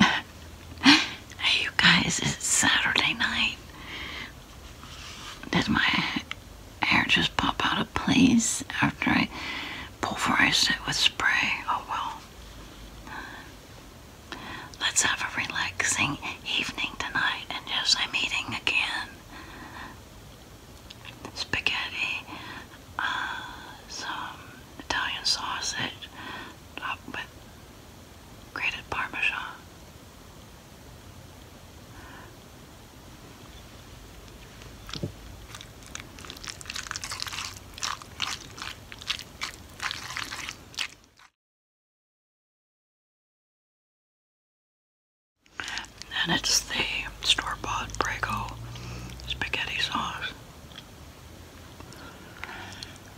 hey, you guys, it's Saturday night. Did my hair just pop out of place after I pulverized it with spray? Oh well. Let's have a relaxing evening tonight, and yes, I'm eating again spaghetti uh, some Italian sausage topped with grated parmesan. And it's the store-bought Prego spaghetti sauce.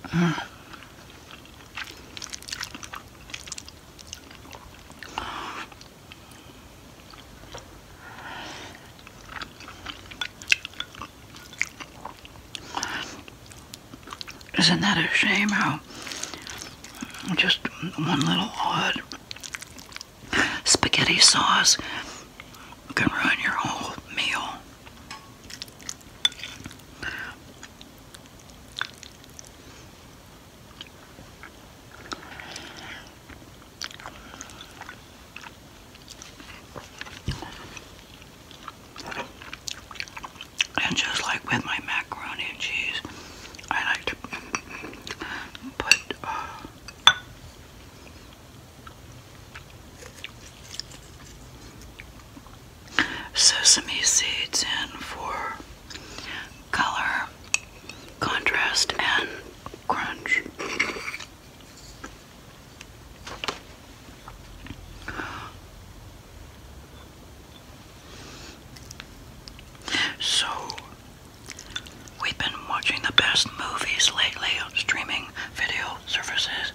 Mm. Isn't that a shame how just one little odd spaghetti sauce can ruin your whole meal. And just like with my macaroni and cheese, I like to put uh, Sesame seeds in for color, contrast, and crunch. So We've been watching the best movies lately on streaming video services.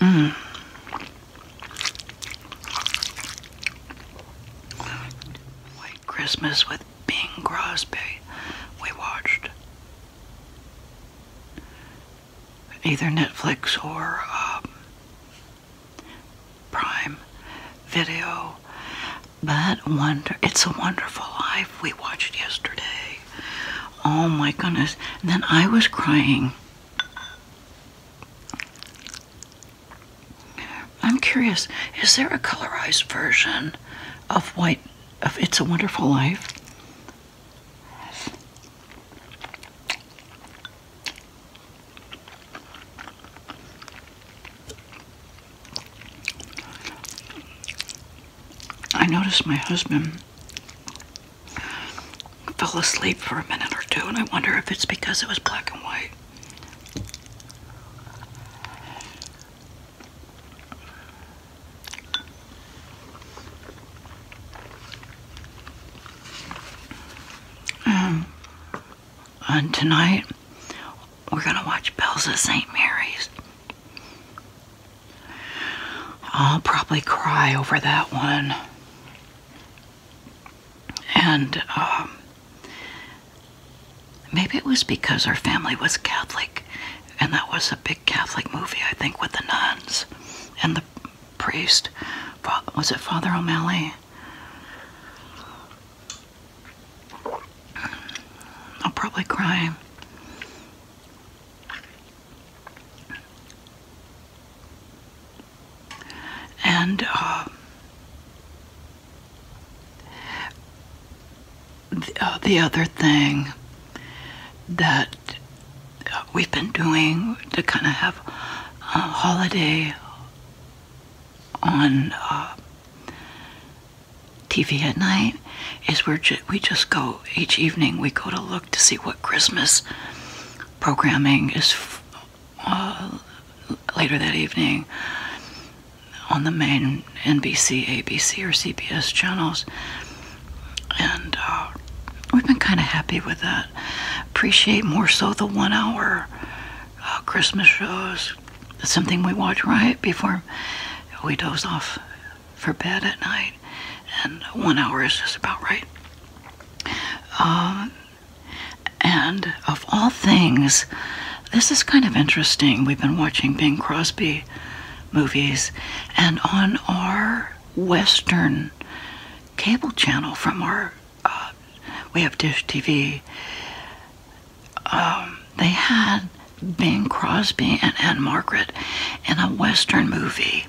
Mm. White Christmas with Bing Crosby. We watched either Netflix or um, Prime Video. But wonder, it's a wonderful life we watched yesterday. Oh my goodness. then I was crying. I'm curious, is there a colorized version of White of It's a Wonderful Life? I noticed my husband fell asleep for a minute or two, and I wonder if it's because it was black and white. Um, and tonight, we're going to watch Bells of St. Mary's. I'll probably cry over that one. And um, maybe it was because our family was Catholic and that was a big Catholic movie, I think, with the nuns and the priest. Was it Father O'Malley? I'll probably cry. And uh, uh, the, other thing that we've been doing to kind of have a holiday on uh, TV at night is where we just go each evening. We go to look to see what Christmas programming is uh, later that evening on the main NBC, ABC, or CBS channels and uh, we've been kind of happy with that. Appreciate more so the one hour uh, Christmas shows. It's something we watch right before we doze off for bed at night, and one hour is just about right. Um, and of all things, this is kind of interesting. We've been watching Bing Crosby movies, and on our Western cable channel from our uh, we have Dish TV. Um, they had Bing Crosby and Margaret in a Western movie,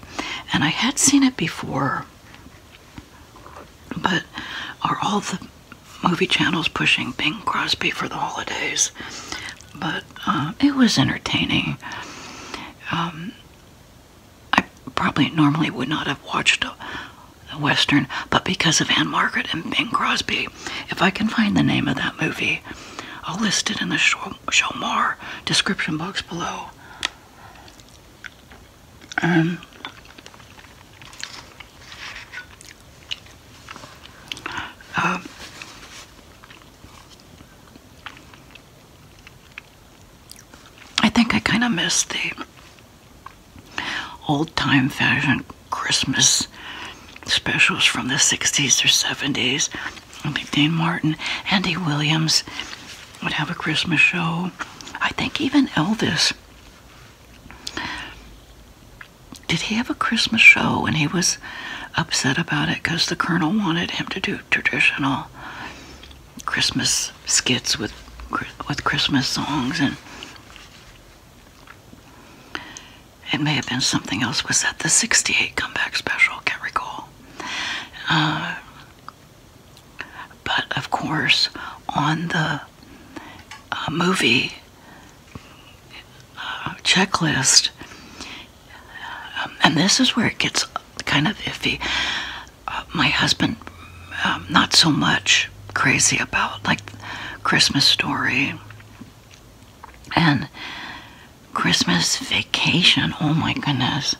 and I had seen it before. But are all the movie channels pushing Bing Crosby for the holidays? but uh, it was entertaining. Um, I probably normally would not have watched a, Western, but because of Anne Margaret and Bing Crosby, if I can find the name of that movie, I'll list it in the show, more description box below. Um, um, I think I kind of miss the old time fashion Christmas specials from the 60s or 70s. I think Dean Martin, Andy Williams would have a Christmas show. I think even Elvis did he have a Christmas show? And he was upset about it because the Colonel wanted him to do traditional Christmas skits with with Christmas songs, and it may have been something else. Was that the '68 comeback special? Can't recall. Uh, but of course, on the uh, movie uh, checklist, um, and this is where it gets kind of iffy. Uh, my husband, um, not so much crazy about like Christmas Story and Christmas Vacation. Oh my goodness.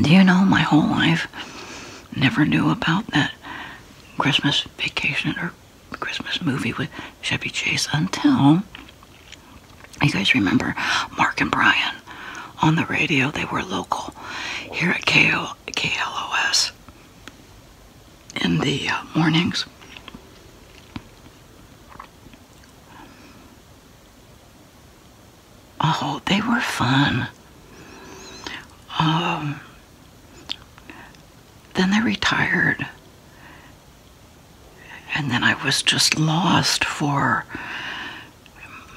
Do you know my whole life never knew about that Christmas vacation or Christmas movie with Chevy Chase until you guys remember Mark and Brian on the radio. They were local here at KL KLOS in the uh, mornings. Oh, they were fun. Um, then they retired. And then I was just lost for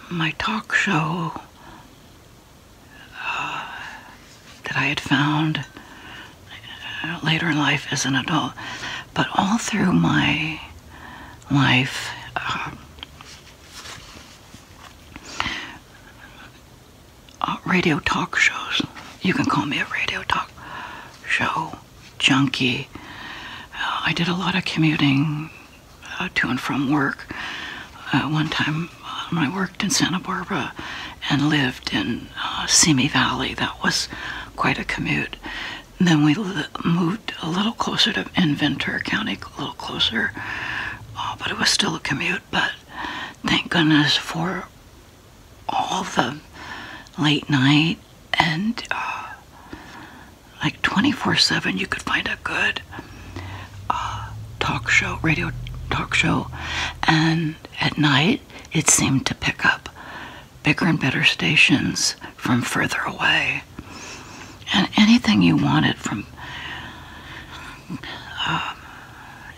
my talk show uh, that I had found uh, later in life as an adult. But all through my life, uh, uh, radio talk shows. You can call me a radio talk show junkie. Uh, I did a lot of commuting uh, to and from work. one time um, I worked in Santa Barbara and lived in Simi Valley. That was quite a commute. then we moved a little closer to in Ventura County, a little closer, but it was still a commute. But thank goodness for all the late night and uh, like 24 7 you could find a good uh, talk show radio talk show and at night it seemed to pick up bigger and better stations from further away and anything you wanted from um,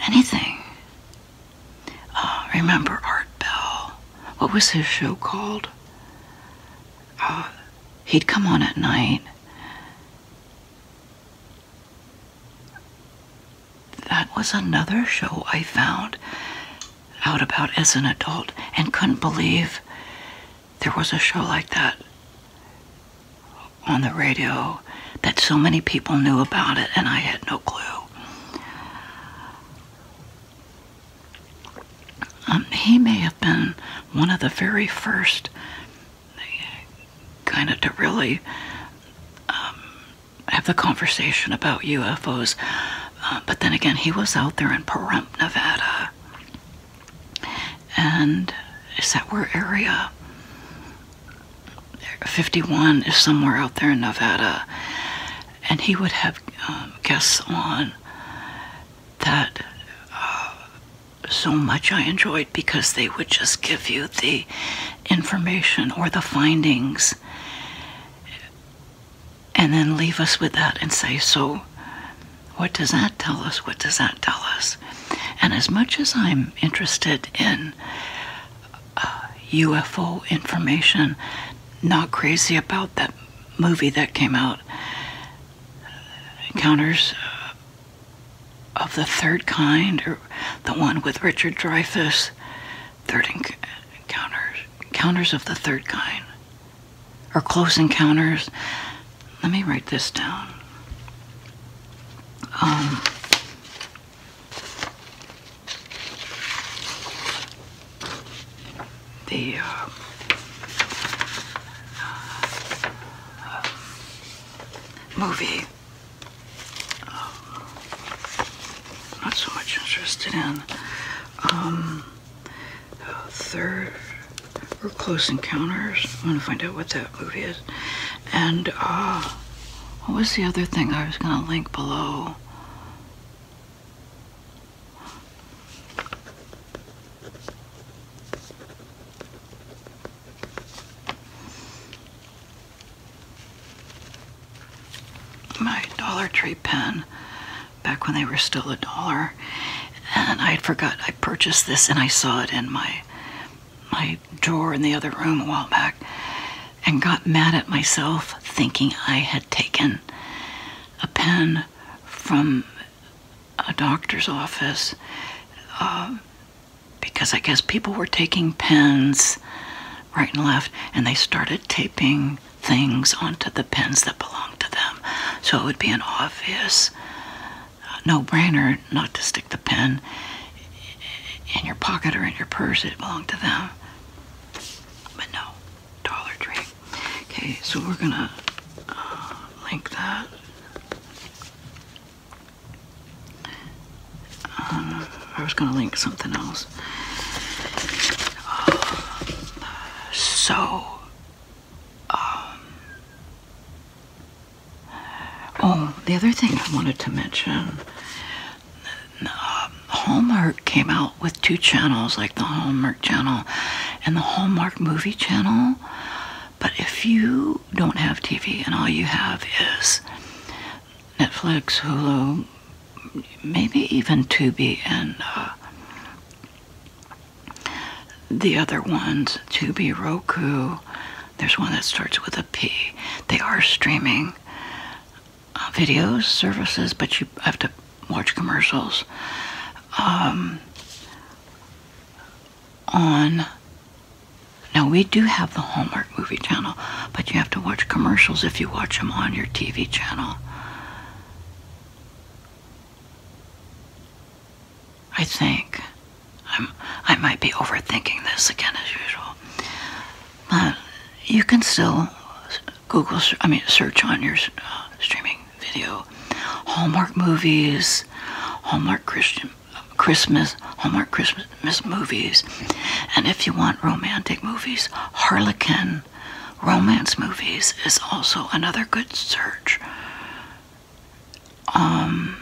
anything. Uh, remember Art Bell? What was his show called? Uh, he'd come on at night. That was another show I found out about as an adult and couldn't believe there was a show like that on the radio that so many people knew about it and I had no clue. Um, he may have been one of the very first kind of to really um, have the conversation about UFOs. Uh, but then again, he was out there in Pahrump, Nevada and is that where area 51 is somewhere out there in Nevada, and he would have um, guests on that uh, so much I enjoyed because they would just give you the information or the findings and then leave us with that and say, So, what does that tell us? What does that tell us? And as much as I'm interested in UFO uh, information, not crazy about that movie that came out, uh, Encounters uh, of the Third Kind, or the one with Richard Dreyfuss, Third Encounters, Encounters of the Third Kind, or Close Encounters let me write this down. Um, the uh, uh, movie um, not so much interested in um, third or Close Encounters. I'm gonna find out what that movie is. And uh, what was the other thing I was gonna link below? My Dollar Tree pen back when they were still a dollar and I had forgot I purchased this and I saw it in my my drawer in the other room a while back and got mad at myself thinking I had taken a pen from a doctor's office uh, because I guess people were taking pens right and left and they started taping things onto the pens that belonged to them. So it would be an obvious no brainer not to stick the pen in your pocket or in your purse. It belonged to them. But no, Dollar Tree. Okay, so we're gonna uh, link that. Um, I was gonna link something else. Uh, so um, oh, the other thing I wanted to mention. Um, Hallmark came out with two channels, like the Hallmark channel and the Hallmark movie channel. But if you don't have TV and all you have is Netflix, Hulu, maybe even Tubi, and uh, the other ones, Tubi, Roku, there's one that starts with a P. They are streaming uh, videos, services, but you have to watch commercials. Um, on now we do have the Hallmark movie channel, but you have to watch commercials if you watch them on your TV channel. I think. i might be overthinking this again as usual. But uh, you can still Google, I mean, search on your uh, streaming video Hallmark movies, Hallmark Christian Christmas, Hallmark Christmas movies, and if you want romantic movies, Harlequin romance movies is also another good search. Um,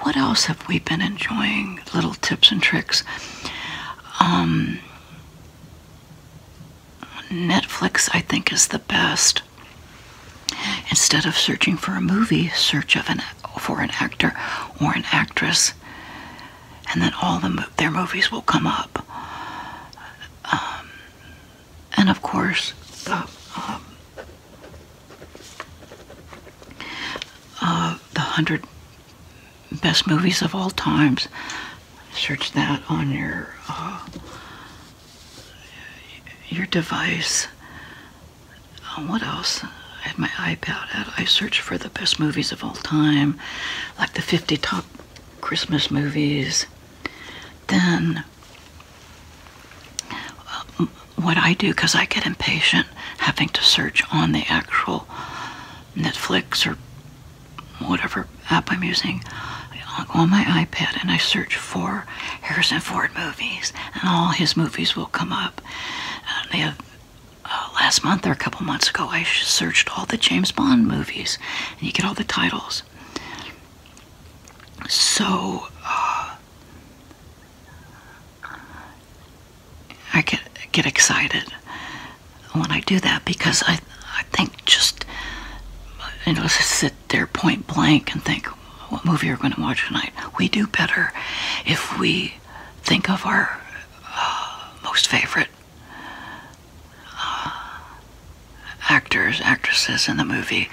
what else have we been enjoying? Little tips and tricks. Um, Netflix, I think, is the best. Instead of searching for a movie, search for an actor or an actress, and then all their movies will come up. Um, and of course the um, uh, the hundred best movies of all times. Search that on your uh, your device. Uh, what else? I had my iPad out. I searched for the best movies of all time, like the 50 top Christmas movies. Then what I do because I get impatient having to search on the actual Netflix or whatever app I'm using I go on my iPad and I search for Harrison Ford movies and all his movies will come up. Uh, they have, uh, last month or a couple months ago I searched all the James Bond movies and you get all the titles so uh, I get get excited when I do that because I I think just you know sit there point blank and think what movie are we going to watch tonight. We do better if we think of our uh, most favorite actors, actresses in the movie.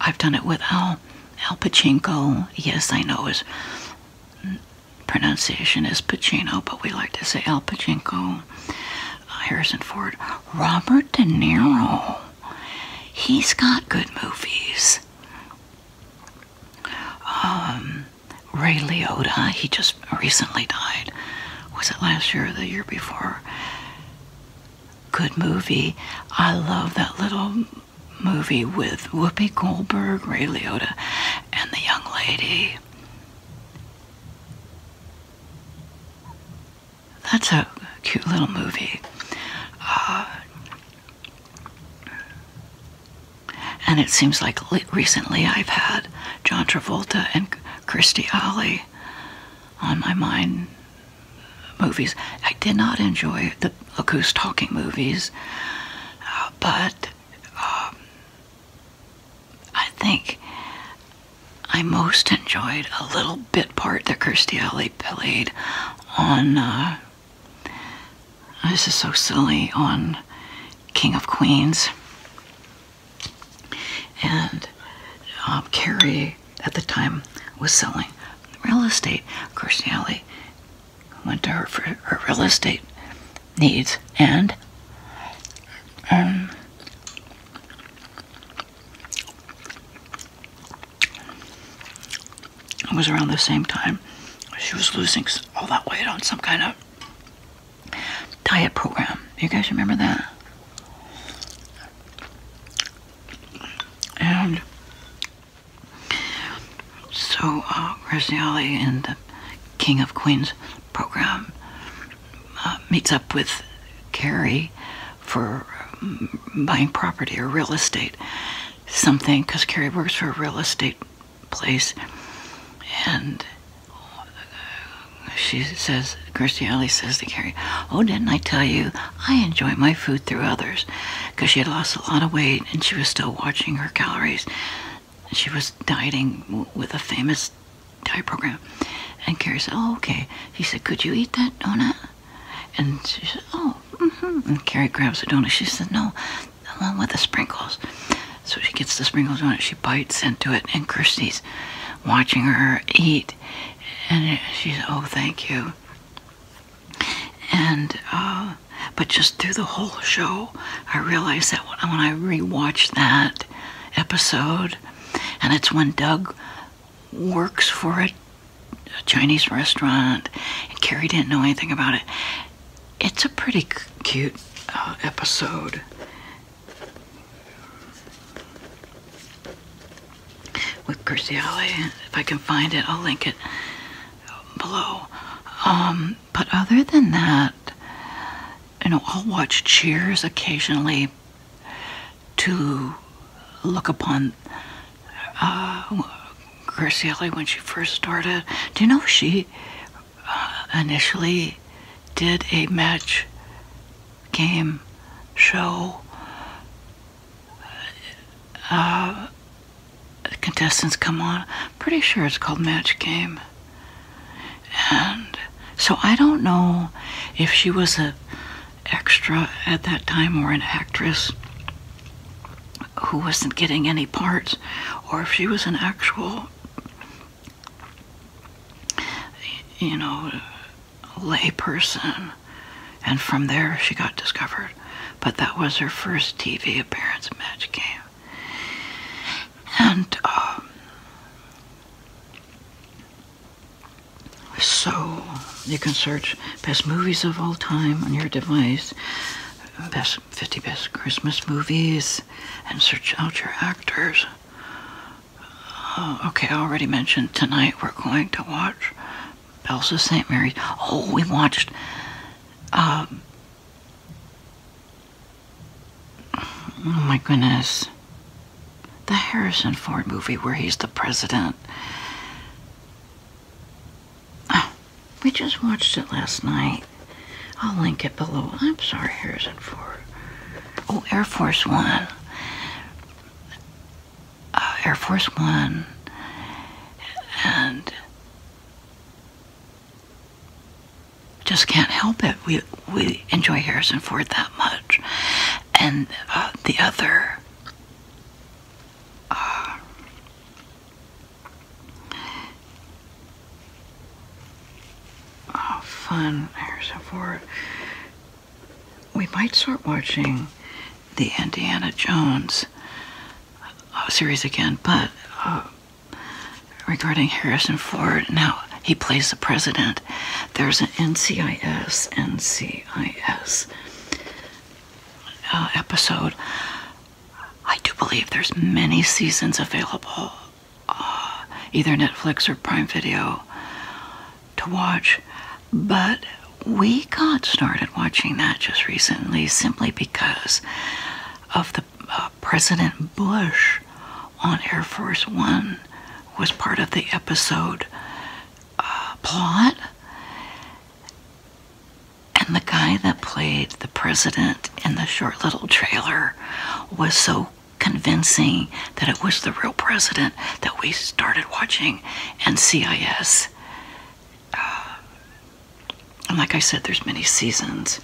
I've done it with Al, Al Pachinko. Yes, I know his pronunciation is Pacino, but we like to say Al Pachinko. Harrison Ford, Robert De Niro. He's got good movies. Um, Ray Liotta, he just recently died. Was it last year or the year before? Good movie. I love that little movie with Whoopi Goldberg, Ray Liotta, and the young lady. That's a cute little movie. Uh, and it seems like recently I've had John Travolta and Christy Alley on my mind movies. I did not enjoy the Look Talking movies, uh, but um, I think I most enjoyed a little bit part that Kirstie Alley played on. Uh, this is so silly on King of Queens. And um, Carrie, at the time, was selling real estate. Of course, Nellie went to her for her real estate needs, and um, it was around the same time she was losing all that weight on some kind of diet program. You guys remember that? And so uh, Grazioli in the King of Queens program uh, meets up with Carrie for mm, buying property or real estate, something, because Carrie works for a real estate place. And she says, "Christy Alley says to Carrie, Oh, didn't I tell you I enjoy my food through others? Because she had lost a lot of weight and she was still watching her calories. She was dieting with a famous diet program. And Carrie said, oh, okay. He said, Could you eat that donut? And she said, Oh, mm-hmm. And Carrie grabs the donut. She said, No, along with the sprinkles. So she gets the sprinkles on it, she bites into it, and Christy's watching her eat, and she's "Oh, thank you." And uh, but just through the whole show, I realized that when I rewatched that episode, and it's when Doug works for a, Chinese restaurant, and Carrie didn't know anything about it. It's a pretty cute uh, episode, with Curciale. If I can find it, I'll link it below. Um, but other than that, you know, I'll watch Cheers occasionally to look upon uh, when she first started. Do you know she uh, initially did a match game show. Uh, contestants come on. Pretty sure it's called Match Game. And so I don't know if she was a extra at that time or an actress who wasn't getting any parts or if she was an actual you know, layperson. And from there, she got discovered. But that was her first TV appearance match And um, so you can search best movies of all time on your device, best 50 best Christmas movies, and search out your actors. Oh, okay, I already mentioned tonight we're going to watch Bells of St. Mary's. Oh, we watched. Um, oh my goodness. The Harrison Ford movie where he's the president. Ah, we just watched it last night. I'll link it below. I'm sorry, Harrison Ford. Oh, Air Force One. Uh, Air Force One. And just can't help it. We, we enjoy Harrison Ford that much. And uh, the other uh, Oh, fun. Harrison Ford. We might start watching the Indiana Jones uh, series again, but uh, regarding Harrison Ford, now he plays the president. There's an NCIS, NCIS uh, episode. I do believe there's many seasons available. Uh, either Netflix or Prime Video to watch, but we got started watching that just recently simply because of the uh, President Bush on Air Force One was part of the episode uh, plot. And the guy that played the president in the short little trailer was so convincing that it was the real president that we started watching NCIS, uh, and like I said, there's many seasons.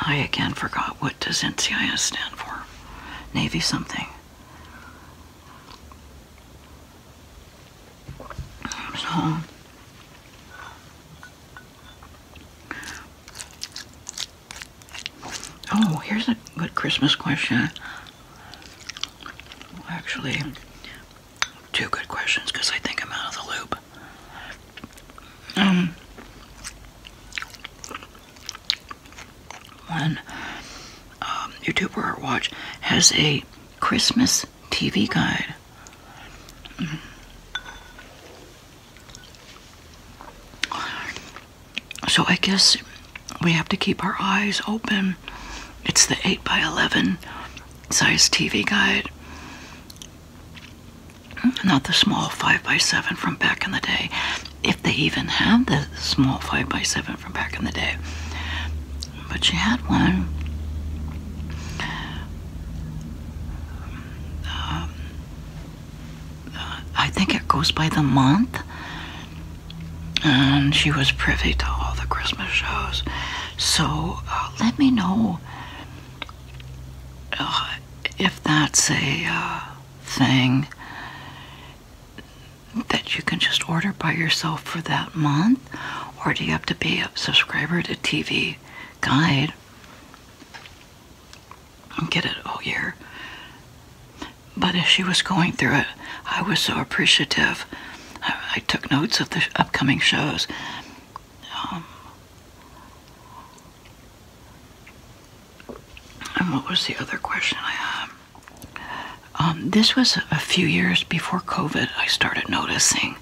I again forgot what does NCIS stand for? Navy something. Oh, here's a good Christmas question. Actually, two good questions because I think I'm out of the loop. Um, one um, YouTuber watch has a Christmas TV guide so I guess we have to keep our eyes open. It's the 8 by 11 size TV guide. Not the small 5 by 7 from back in the day. If they even had the small 5 by 7 from back in the day but she had one. Um, uh, uh, I think it goes by the month. And she was privy to all the Christmas shows. So uh, let me know if that's a thing that you can just order by yourself for that month, or do you have to be a subscriber to TV guide and get it all year. But as she was going through it, I was so appreciative. I, took notes of the upcoming shows. Um, and what was the other question I had? Um, this was a few years before COVID, I started noticing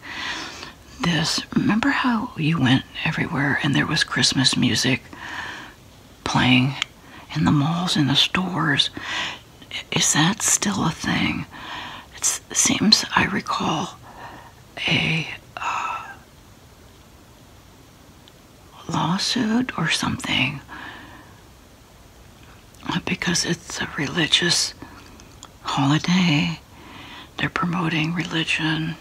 this. Remember how you went everywhere and there was Christmas music playing in the malls, in the stores? Is that still a thing? It seems I recall a uh, lawsuit or something uh, because it's a religious holiday they're promoting religion.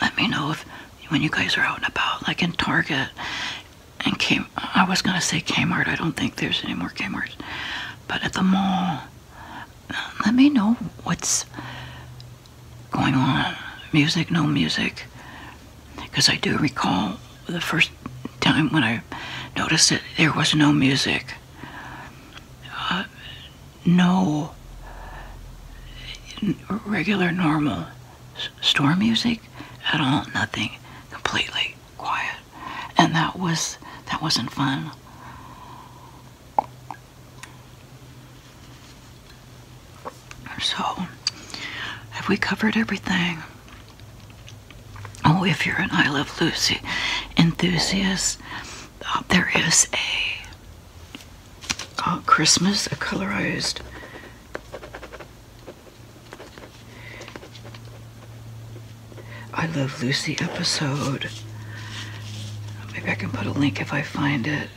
Let, me know if when you guys are out and about, like in Target and came. I was gonna say Kmart. I don't think there's any more Kmart's, but at the mall, let me know what's going on. Music, no music, because I do recall the first time when I noticed that there was no music, uh, no regular, normal store music at all, nothing, completely quiet. And that was, that wasn't fun. So, have we covered everything? Oh, if you're an I Love Lucy enthusiast, uh, there is a uh, Christmas, a colorized I Love Lucy episode. Maybe I can put a link if I find it.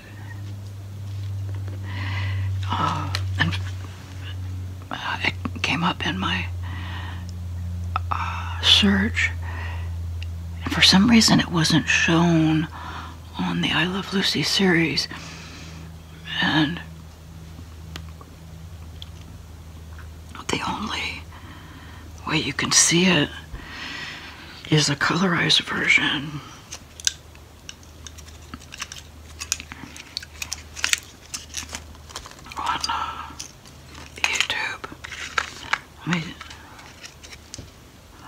Uh, uh, it came up in my uh, search, and for some reason it wasn't shown on the I Love Lucy series. And the only way you can see it is a colorized version on uh, YouTube.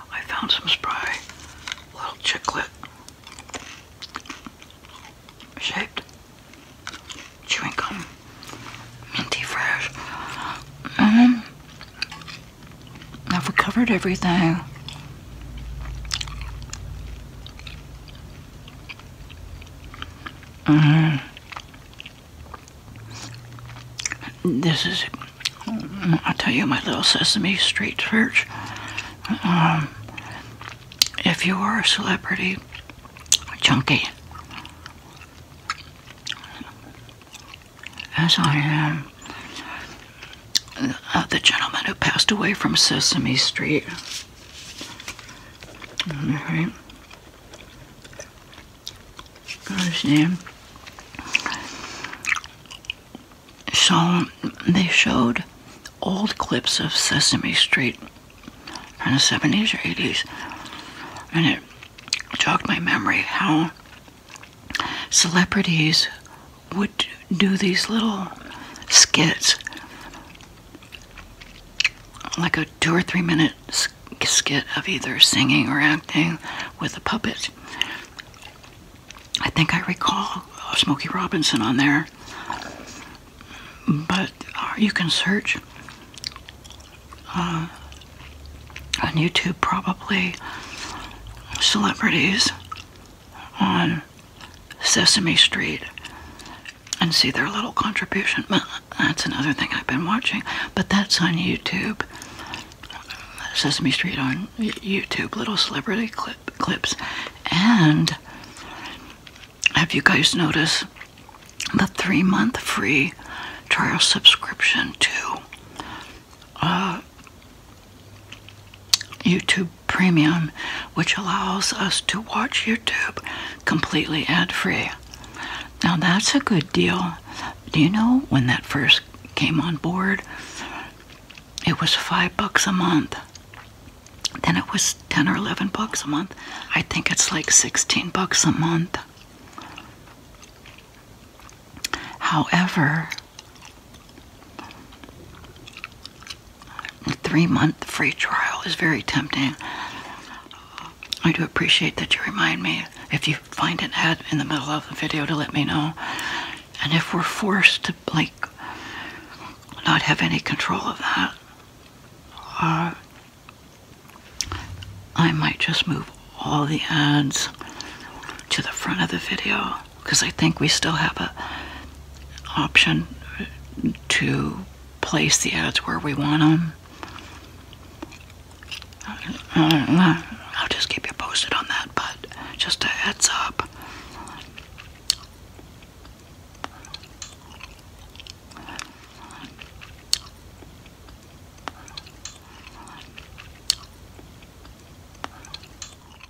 I found some spray, little chocolate shaped chewing gum, minty fresh. Mm. Mm-hmm. I've recovered everything. Mm-hmm. this is, mm, I'll tell you, my little Sesame Street church. Um, if you are a celebrity, chunky, as I am, uh, the gentleman who passed away from Sesame Street. Alright. God's So they showed old clips of Sesame Street from the 70s or 80s. And it jogged my memory how celebrities would do these little skits like a two or three minute skit of either singing or acting with a puppet. I think I recall uh, Smokey Robinson on there, but uh, you can search uh, on YouTube probably celebrities on Sesame Street and see their little contribution. That's another thing I've been watching, but that's on YouTube. Sesame Street on YouTube, little celebrity clip, clips. And have you guys noticed the three month free trial subscription to uh, YouTube Premium, which allows us to watch YouTube completely ad free. Now, that's a good deal. Do you know when that first came on board? It was five bucks a month. Then it was 10 or 11 bucks a month. I think it's like 16 bucks a month. However, a three month free trial is very tempting. I do appreciate that you remind me if you find an ad in the middle of the video to let me know. And if we're forced to like not have any control of that, uh, I might just move all the ads to the front of the video because I think we still have a option to place the ads where we want them. I'll just keep you posted on that, but just a heads up.